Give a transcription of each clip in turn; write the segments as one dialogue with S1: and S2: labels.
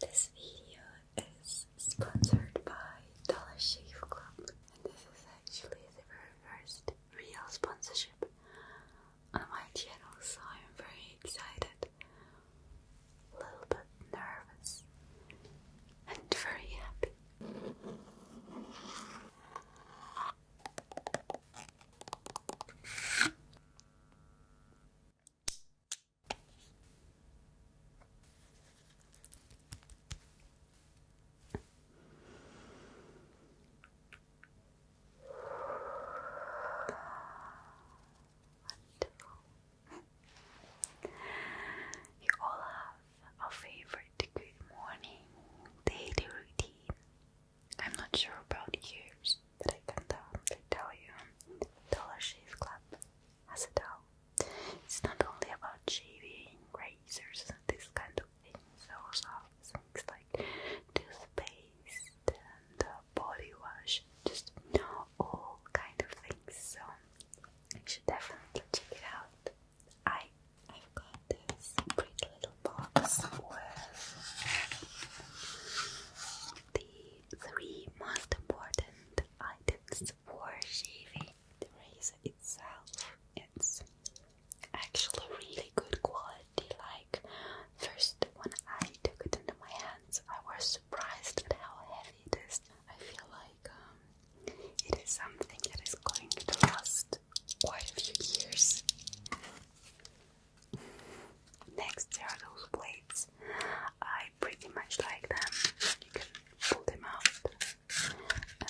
S1: This video is sponsored by Dollar Shave Club, and this is actually the very first real sponsorship on my channel, so I'm very excited, a little bit nervous, and very happy. You all have a favorite good morning daily routine. I'm not sure about yours, but I can definitely tell you Dollar Shave Club has it all. It's not only about shaving, razors, and this kind of things, also things like toothpaste and uh, body wash, just all kind of things. So you should definitely check it out. I i got this pretty little box the three most important items for shaving. The razor itself, it's actually really good quality. Like, first when I took it into my hands, I was surprised at how heavy it is. I feel like um, it is something that is going to last quite a few years. Next, there are those plates. I pretty much like them. You can pull them out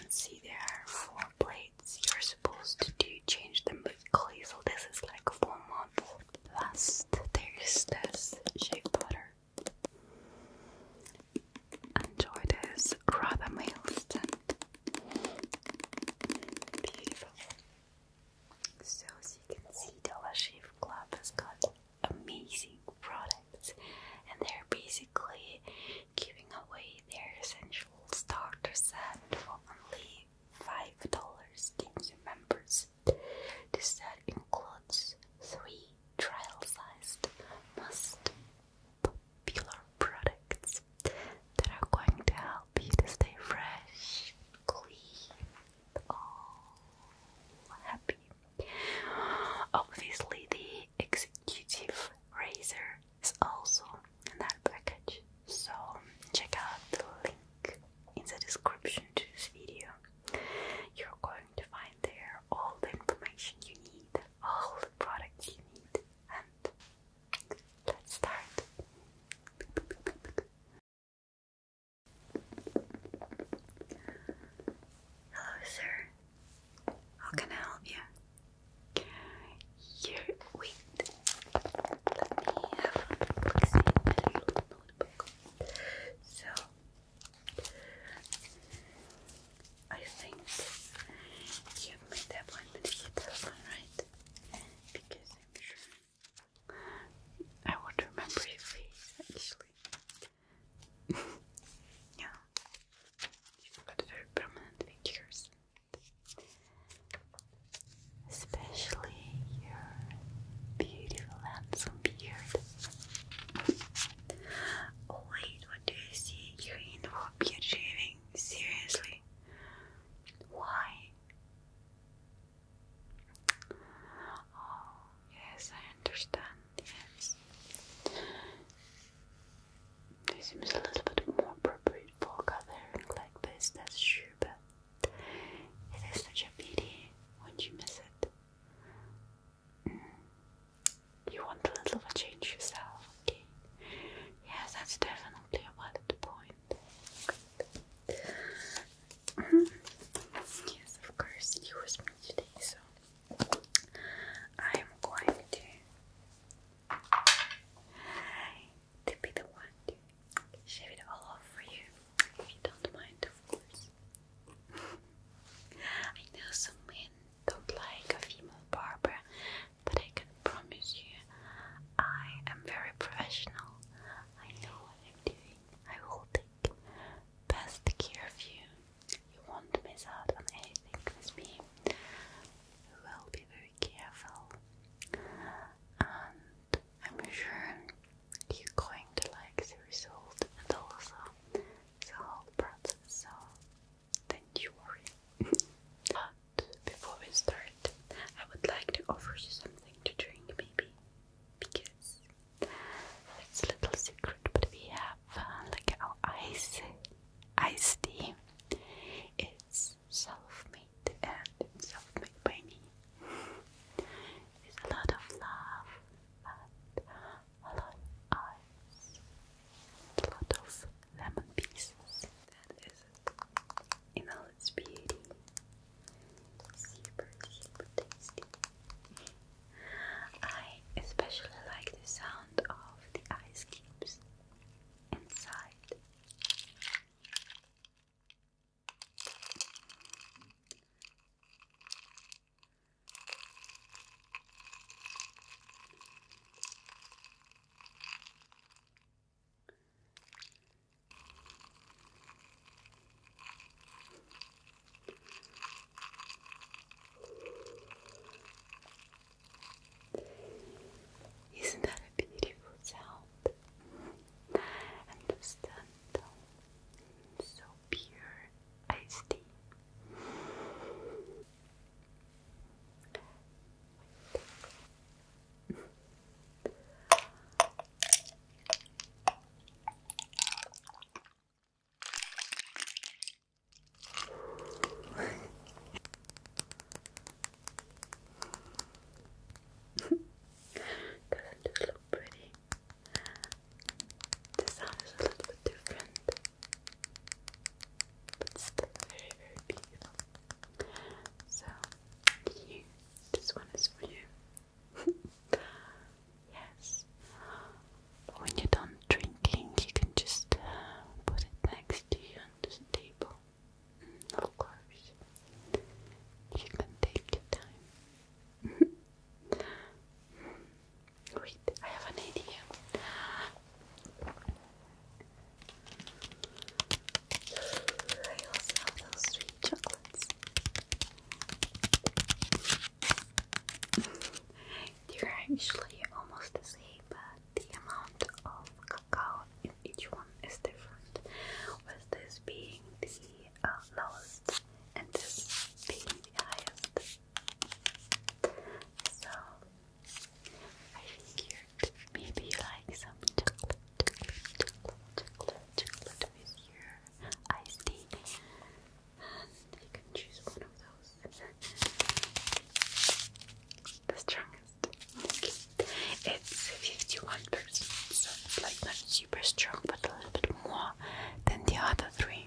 S1: and see there are four plates. You're supposed to do change them weekly, so this is like four months. Last, there is this shea butter. Enjoy this rather mild scent. Beautiful. So as you can see, Dollar Shave Club has got amazing products and they're basically giving away their essential starter set for only five dollars to new members. This set includes three trial-sized must popular products that are going to help you to stay fresh, clean, all oh, happy. Obviously, the executive razor is also in that package, so check out the link in the description to this video. You're going to find there all the information you need, all the products you need, and let's start. Hello, sir. How can I help you? Here, wait. Let me have a look see at your notebook. So, I think you made the appointment with your telephone, right? Because I'm sure. I won't remember your face actually. yeah, you got very permanent features, especially your beautiful handsome beard. Oh, wait, what do you see? You're in for beard shaving? Seriously? Why? Oh, yes, I understand. Yes. It seems a little bit more appropriate for gathering like this, that's true, but it is such a pity when you miss it. Mm. You want a little of a change yourself, okay? Yes, that's definitely a valid point. Mm-hmm. Yes, of course, you was me today, so I'm going to to be the one to shave it all off for you, if you don't mind, of course. I know some men don't like a female barber, but I can promise you, I am very professional. I know what I'm doing. I will take best care of you. You won't miss out on anything with me. I will be very careful. And I'm sure you're going to like the result and also the whole process. So don't you worry. but before we start, I would like to offer you something to drink, maybe, because it's a little secret. But we have uh, like our ice, ice tea. It's self-made and it's self-made by me. It's a lot of love and a lot of ice, a lot of lemon pieces in all its beauty. Super, tasty. I especially like the sound of the ice cubes inside. Isn't that a beautiful sound? And the stand so pure iced doesn't this pretty? The sound is a little bit different, but still very, very beautiful. So, you, this one is for you. yes. When you're done drinking, you can just uh, put it next to you on the table. Mm, of course. You can take your time. Wait, I have an idea. I also have those sweet chocolates. They're actually almost the same, but the amount of cacao in each one is different. With this being the uh, lowest, and this being the highest. So I think you Maybe you like some chocolate, chocolate, chocolate, with your iced tea. And you can choose one of those. The strongest. Okay. It's 51%, so it's like not super strong, but a little bit more than the other three.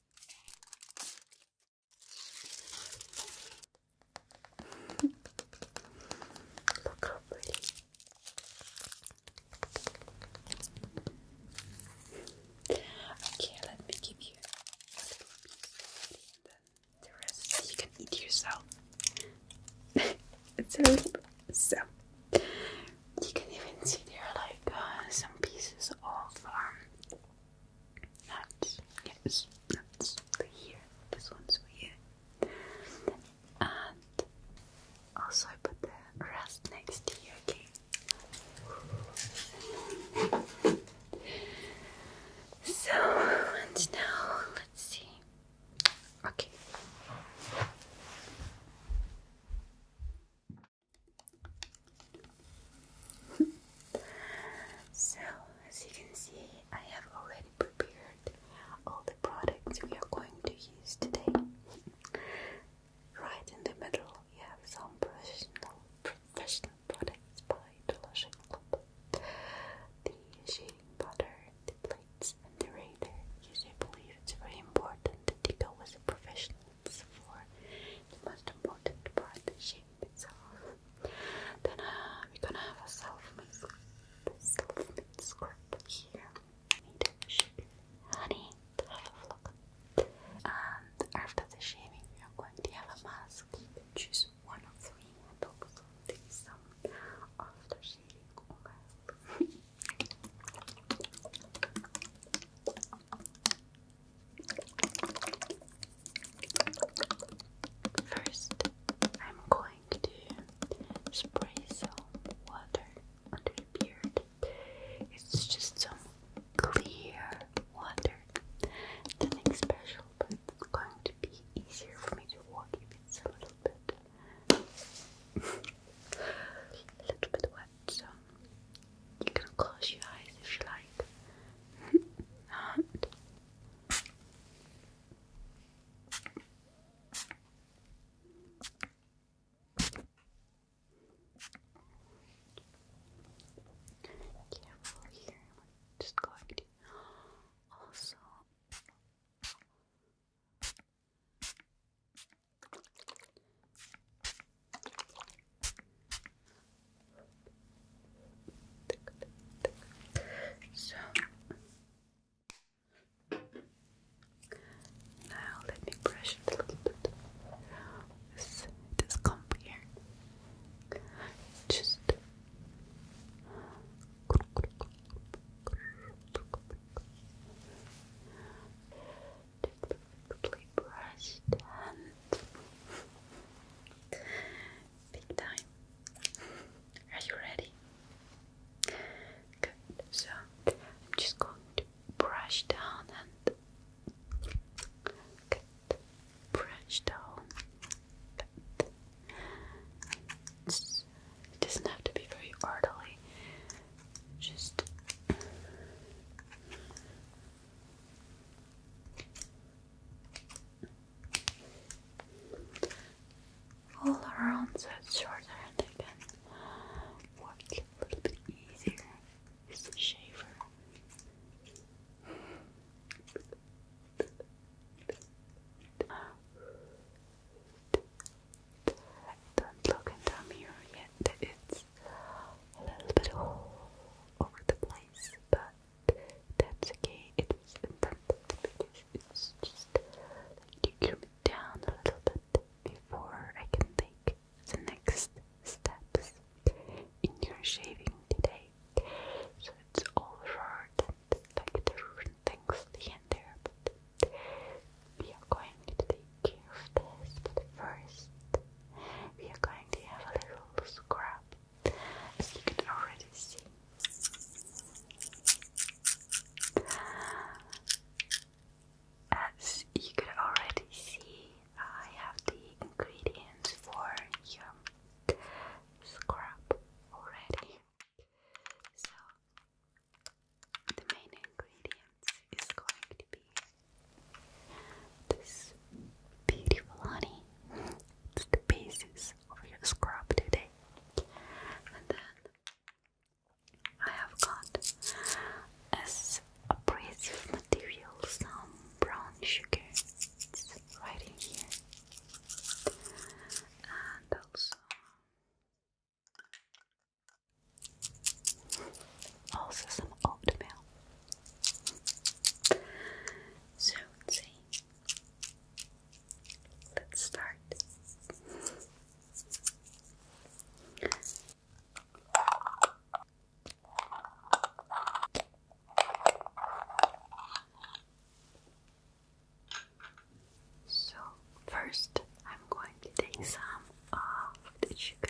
S1: Okay, let me give you a little piece and then the rest you can eat yourself. it's a little so. You can even see there are like uh, some pieces of um, that's yes, This one's for you. And also put the rest next to you, okay? So and now let's see. Okay so, as you can see, I have already prepared all the products we are going to use today. right in the middle, you have some professional, professional products by Dolce Club. The shaving butter, the plates, and the razor. Yes, I believe it's very important to you go with a professional helps for the most important part, the shape itself. Then uh, we're gonna have a self-made self script here. honey have a look. And after the shaving, we are going to have a mask. You can one of three, and also take after shaving First, I'm going to spray some water under your beard. It's just some clear water. Nothing special, but it's going to be easier for me to walk if it's a little bit, a little bit wet but um, you can close your eyes if you like. and Careful here, i just going to also so now let me brush it a little bit. This, this Just to perfectly brushed hand. Big time. Are you ready? Good. So I'm just going to brush down and brush down. it doesn't have to be very orderly just all around so shorter and I work a little bit easier shaver. don't look in the mirror yet, it's a little bit all over the place, but that's okay. It's important because it's just like you trim it down a little bit before I can take the next steps in your shaving today. So it's all short and like different things here and there, but we are going to take care of this, but first we are going to have a little scrap, as you can already see. As you could already see, I have the ingredients for your scrub already. So, the main ingredient audience is going to be this beautiful honey. It's the basis of your scrub today. And then I have got as abrasive material some brown sugar. right in here. And also also some oatmeal. So let's start. So, first, I'm going to take some of the sugar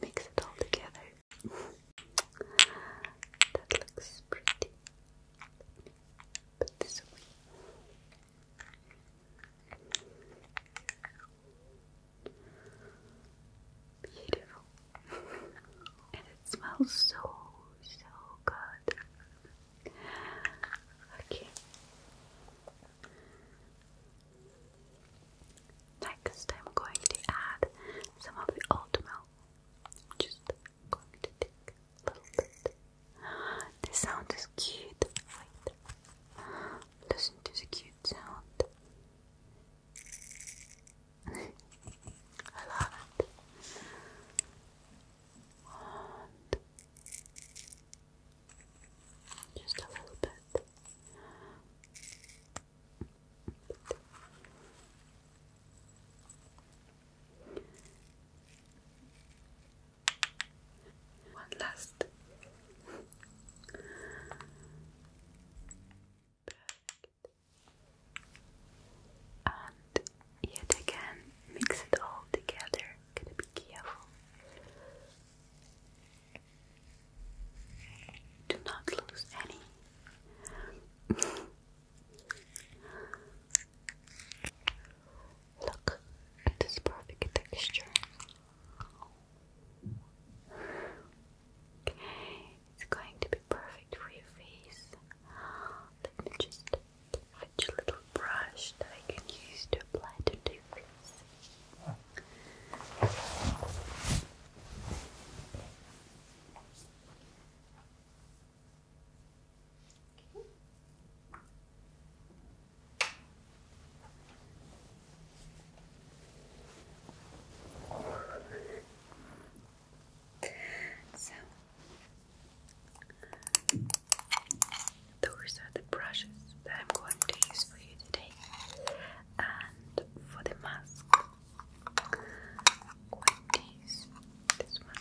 S1: Mix it all together. that looks pretty. Put this away. Beautiful. and it smells so, so good. Okay. Next, I'm going to add some of the oatmeal. just going to take a little bit. The sound is cute. Listen to the cute sound. I love it. just a little bit. One last and yet again mix it all together. Gotta be careful. Do not lose any. Look at perfect texture. Okay, it's going to be perfect for your face. Let me just fetch a little brush that I can use to apply to your face. Okay. So, those are the brushes that I'm going to use for you today. And for the mask, I'm going to use this one.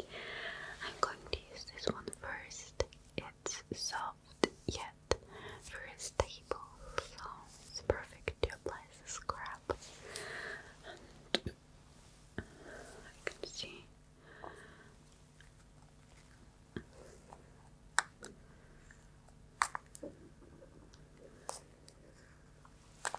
S1: I'm going to use this one first. It's soft yet very stable, so it's perfect to apply as scrub. And I see.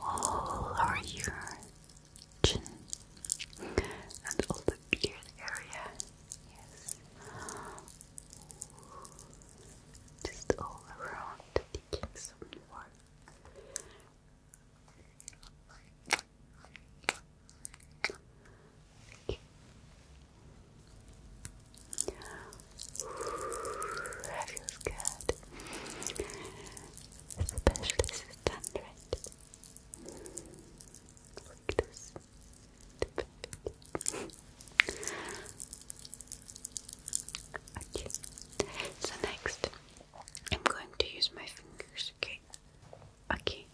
S1: all over your chin and all the beard area. Yes. Just all around taking some more. That feels good. Especially this is done right. Like this. Okay. So next, I'm going to use my fingers. Okay. Okay.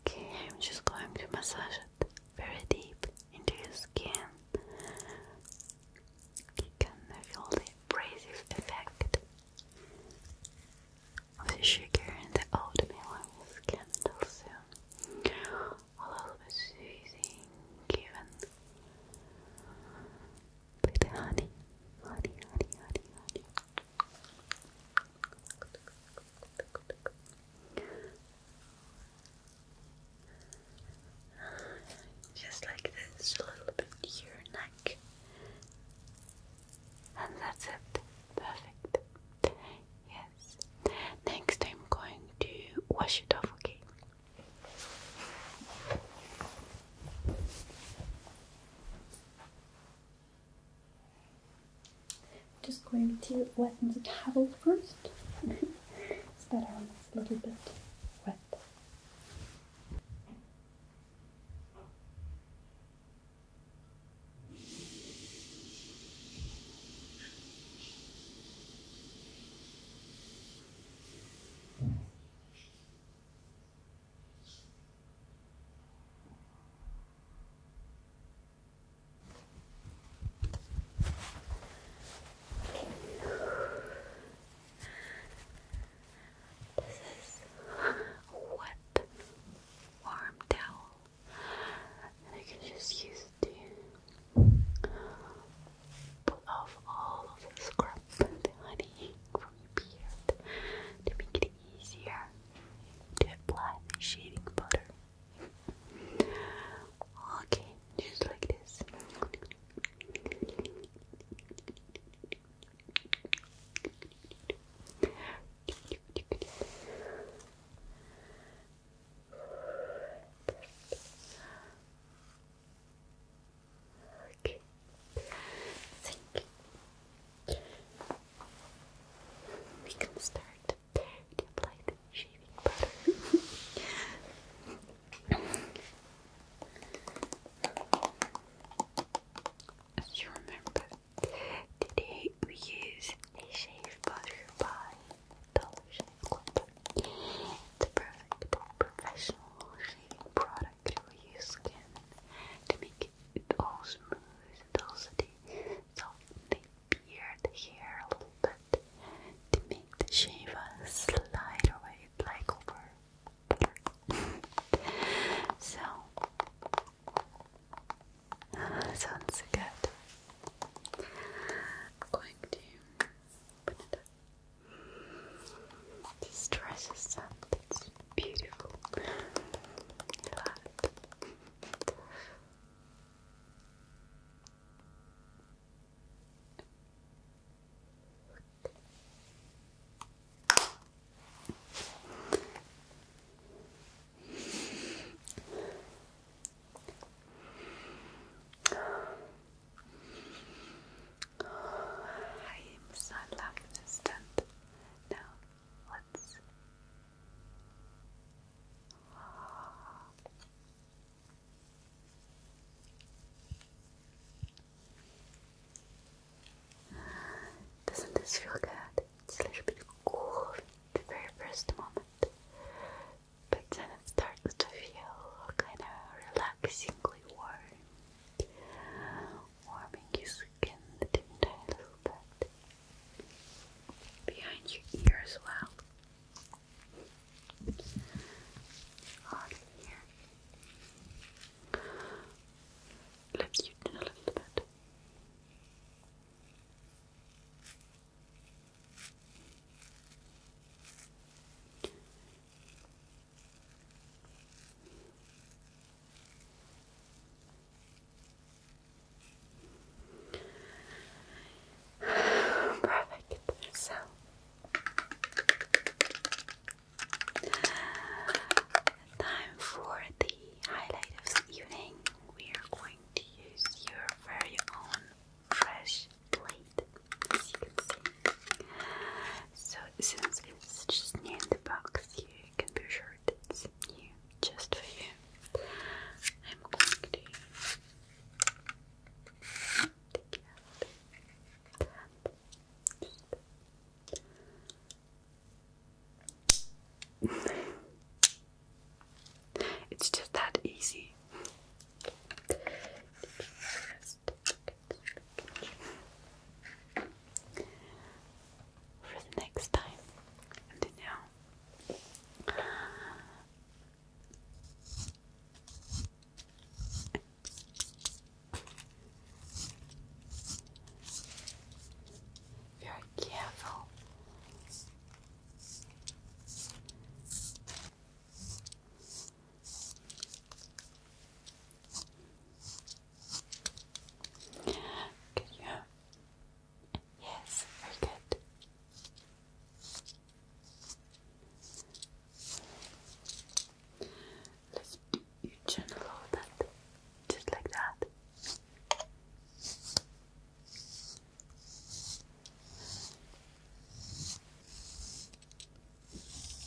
S1: Okay, I'm just going to massage it very deep into your skin. You can feel the abrasive effect of the sugar and the oatmeal on your skin also. A little bit soothing, given with honey, honey, honey, honey, honey. Just like this, a little bit to neck. And that's it. Perfect. Yes. Next, I'm going to wash it off, okay? I'm just going to wet the towel first it's better when it's a little bit wet this is a warm towel, I can just use to put off all of the scrub and the honey from your beard to make it easier to apply the shaving powder. Okay, just like this. Okay think we can start to apply the shaving powder. As you remember, today we use a shave powder by Dollar Shave Club. It's a professional shaving product for your skin to make make it all smooth and they the soften the hair a little bit to make the shave slide away like over. so uh, sounds good. i going to open it up. This dress bits beautiful flat. I am so lucky to stand now doesn't this feel good? It's a little bit cool the very first moment, but then it starts to feel kind of relaxingly warm warming your skin, a little bit behind your ear as well. On here, lift you in a little bit. Perfect. So time for the highlight of the evening. We are going to use your very own fresh plate, as you can see. So since it's just near the box you can be sure it's new just for you. I'm going to take it out. it's just that easy for the next time. And now, very careful. Can you? Yes, very good. Let's you turn a little bit, just like that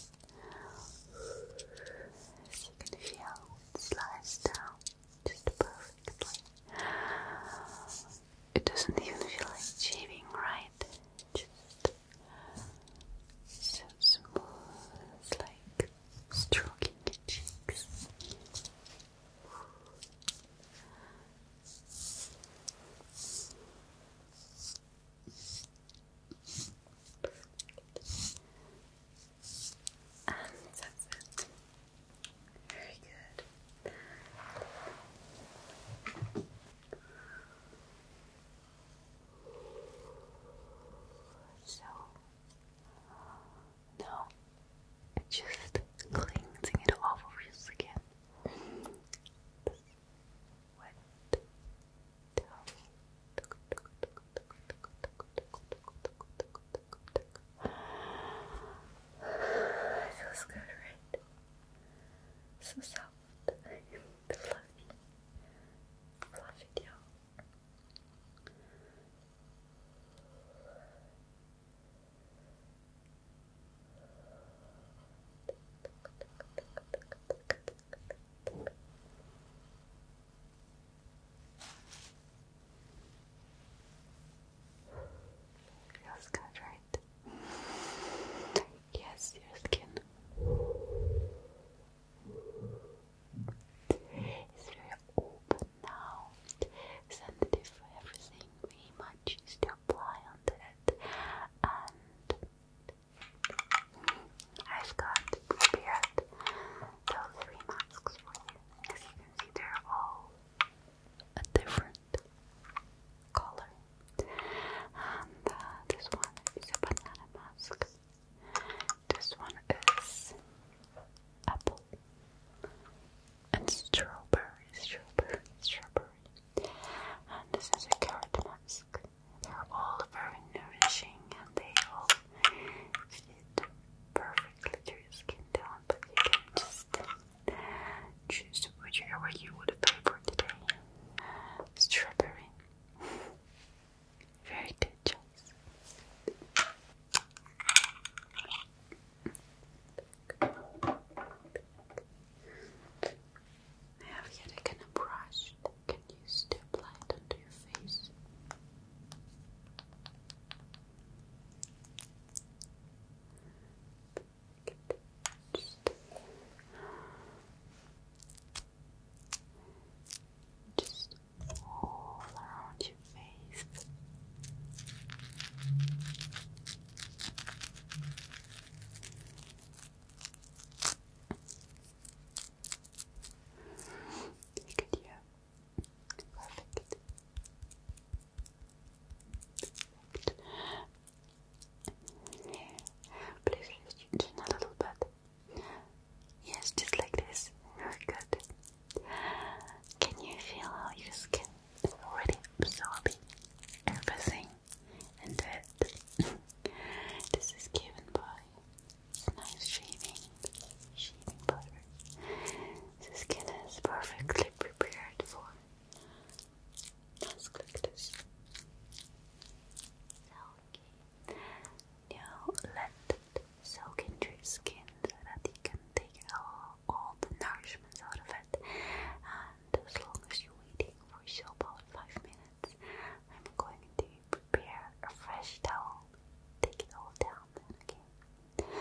S1: you can feel it slides down just perfectly. It doesn't even feel like shaving, right? Just so smooth, like stroking your cheeks. And that's it. Very good. So now just cleansing it off of your skin. It feels good, right? So soft, fluffy, fluffy deal. Feels good, right? Yes, your skin is very open now, sensitive for everything we might choose to apply on that, and I've got prepared those three masks for you. As you can see, they're all a different color. And uh, this one is a banana mask. This one is apple and strawberry, strawberry, strawberry. And this is a carrot mask. They're all very nourishing and they all fit perfectly to your skin tone, but you can just choose whichever you would favor today. Strawberry. Very good I have yet again a brush can you step light it your face. Just, just all around your face. Good, yeah. Perfect. Perfect. Please lift a little bit. Yes, just like this. Very good. Can you feel how your skin is already absorbing everything and this is given by nice shaving, shaving powder. The skin is perfectly prepared for task like this. Now let it soak into your skin so that you can take all, all the nourishments of it. And as long as you're waiting for about five minutes. I'm going to prepare a fresh towel. Take it all down then, okay?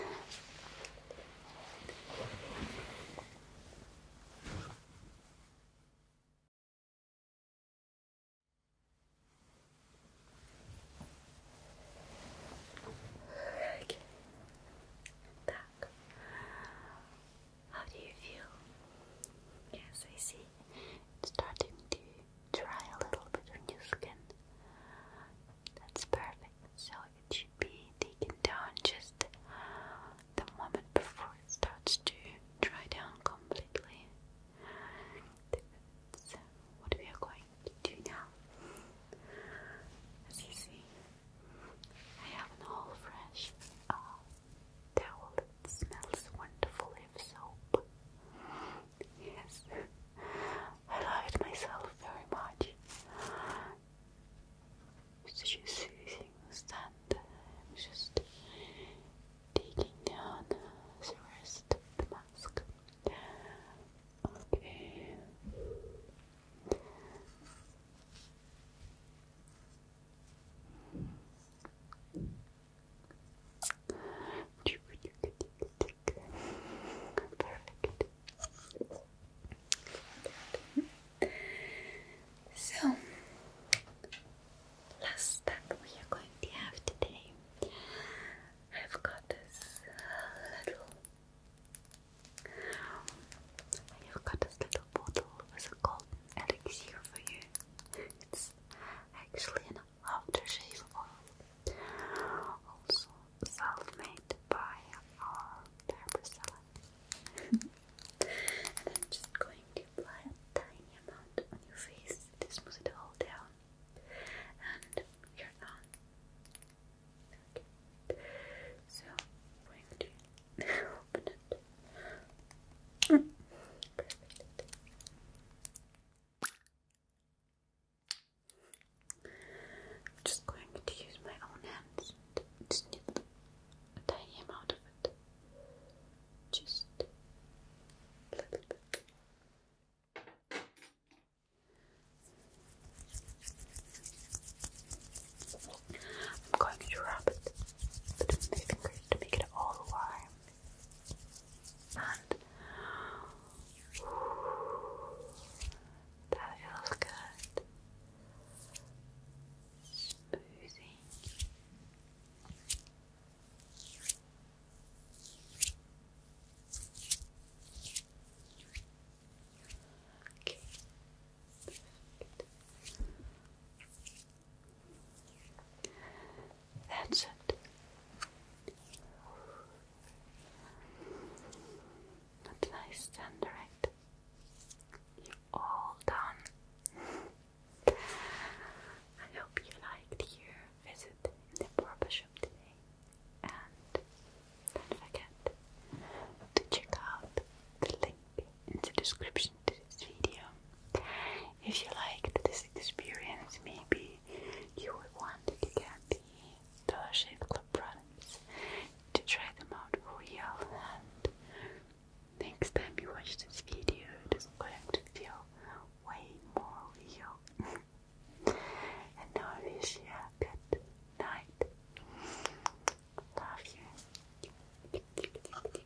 S1: Okay. How do you feel? Yes, I see starting to dry a little bit on your skin. That's perfect. So it should be taken down just the moment before it starts to dry down completely. what we are going to do now. As you see, I have an all fresh uh, towel that smells wonderful soap. Yes, I love it myself very much. just using stand, just taking down the rest of the mask. Okay. So, last step we are going to have today. I've got this uh, little. I have got this little bottle with a elixir for you actually an aftershave oil, also self-made by our barber salon. just going to apply a tiny amount on your face to smooth it all down, and you're done. So, going to I'm just going to use my own hands to a tiny amount of it. Just a little bit. I'm going to rub it between my fingers to make it all warm and that feels good. Smoothing. Okay. Perfect. That's it. nice then, You're all done. I hope you liked your visit in the barber shop today, and do to check out the link in the description to this video. If you liked this experience, maybe you would want to get the Dollar Shave Club products to try them out for real. And next time you watch this video, it is going to feel way more real. and now I wish you a good night. Love you.